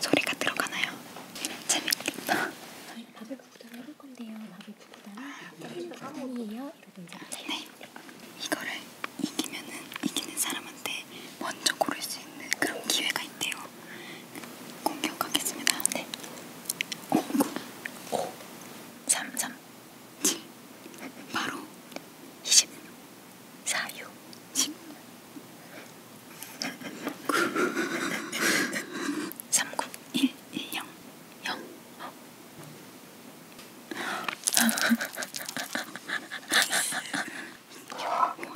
소리가 들어가나요? 재밌겠다. 저희는 밥을 구구단 해볼 건데요. 밥을 구구단. 밥을 구구단이에요. 이러고 이제 하세요. 네. 이거를 이기면은 이기는 사람한테 먼저 고를 수 있는 그런 기회가 있대요. 공격하겠습니다. 네. 5, 9, 5, 3, 3, 7, 바로 20 4유 10 39 1 1 0 0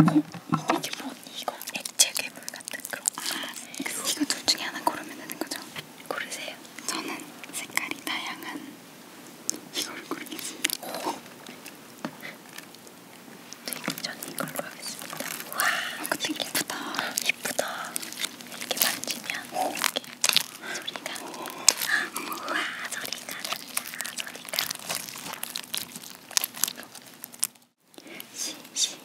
이게 뭐니? 이거 액체 괴물 같은 그런 거. 아, 이거 그 둘 중에 하나 고르면 되는 거죠? 고르세요. 저는 색깔이 다양한 이걸 고르겠습니다. 저는 이걸로 하겠습니다. 와, 그치 아, 예쁘다. 예쁘다. 이렇게 만지면 어? 이렇게 소리가 와 소리가 난다. 소리가. 시시시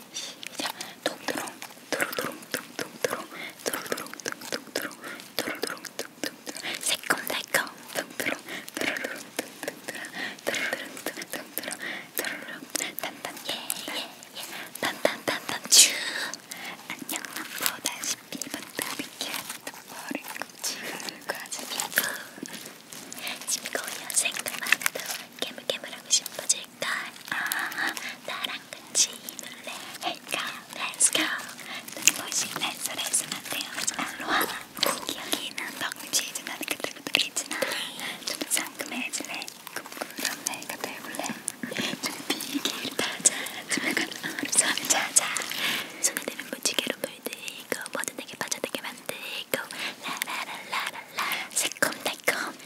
자, 동드롱 도로도롱 동동도롱 도로도롱 동동도롱 도롱도롱 둥둥둥 새콤달콤 둥두롱 도롱도롱 둥둥둥 도롱도롱 둥둥둥 도롱도롱 단단예예 단단단단 츄 안녕 남보다 12분 더비켜 머리 지금까지 피부 지금 여생도 많아도 깨물깨물하고 싶어질 할까? 아, 나랑 같이 놀래 할까? Let's go. 눈부신 햇살에서만 태어난 알로하. 여기는 덕치즈만 그들그들이지나. 좀 상큼해질래? 꿈꾸던 내가 배울래? 좀 비계를 타자. 조명은 어루 손을 찾아. 손에 대면 무지개로 물들고 모든 내게 빠져들게 만들고 라라라라라 새콤달콤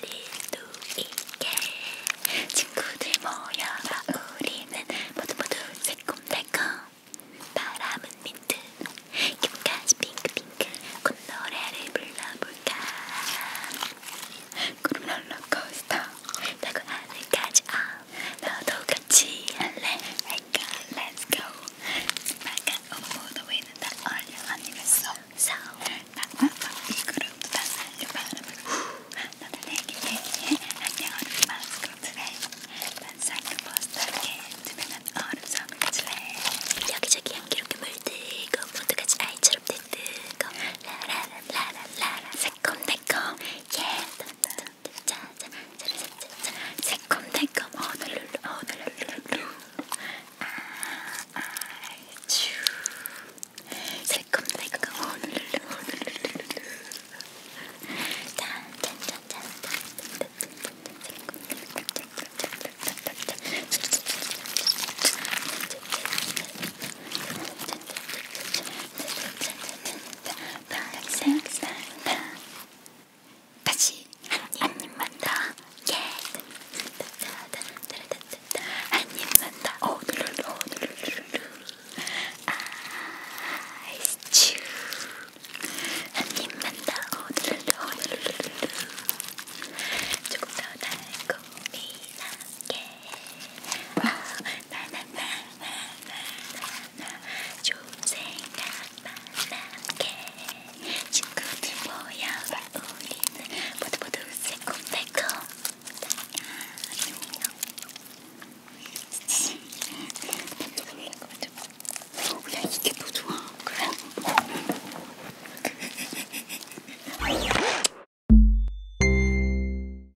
달릴 수 있게 친구들 모여라 우리는 모두 모두 새콤달콤 바람은 민트 입까지 핑크핑크 꽃노래를 불러볼까 구름 롤러코스터 타고 하늘까지 아 너도 같이 할래 할까 Let's go 마가 오모도 위는 다 얼려 아니겠어 소울 이 그룹도 다 살려봐라 나도 내게 내게 안녕 얼음 마스코트래 반상도 버스터게 투명한 얼음 성질래 여기저기 향기롭게 물들고 모두같이 아이처럼 들뜨고 라라라라라라 새콤달콤 예 짜자자자자자자 새콤달콤 오늘룰루 오늘룰루 아주 새콤달콤 오늘룰루 오늘룰루 짠짠짠짠짠 새콤달콤 다시 한 입만 더. 예. 한 입만 더. 오늘은 오늘은 아이스츄. 한 입만 더. 오늘은 오늘은 조금 더 달콤이 나게. 아, 나는 나나나나나 좋은 생각만 남게 친구들 모여라 우리는 모두 모두 새콤달콤 아, 야 이게 더 뭐 좋아 그래?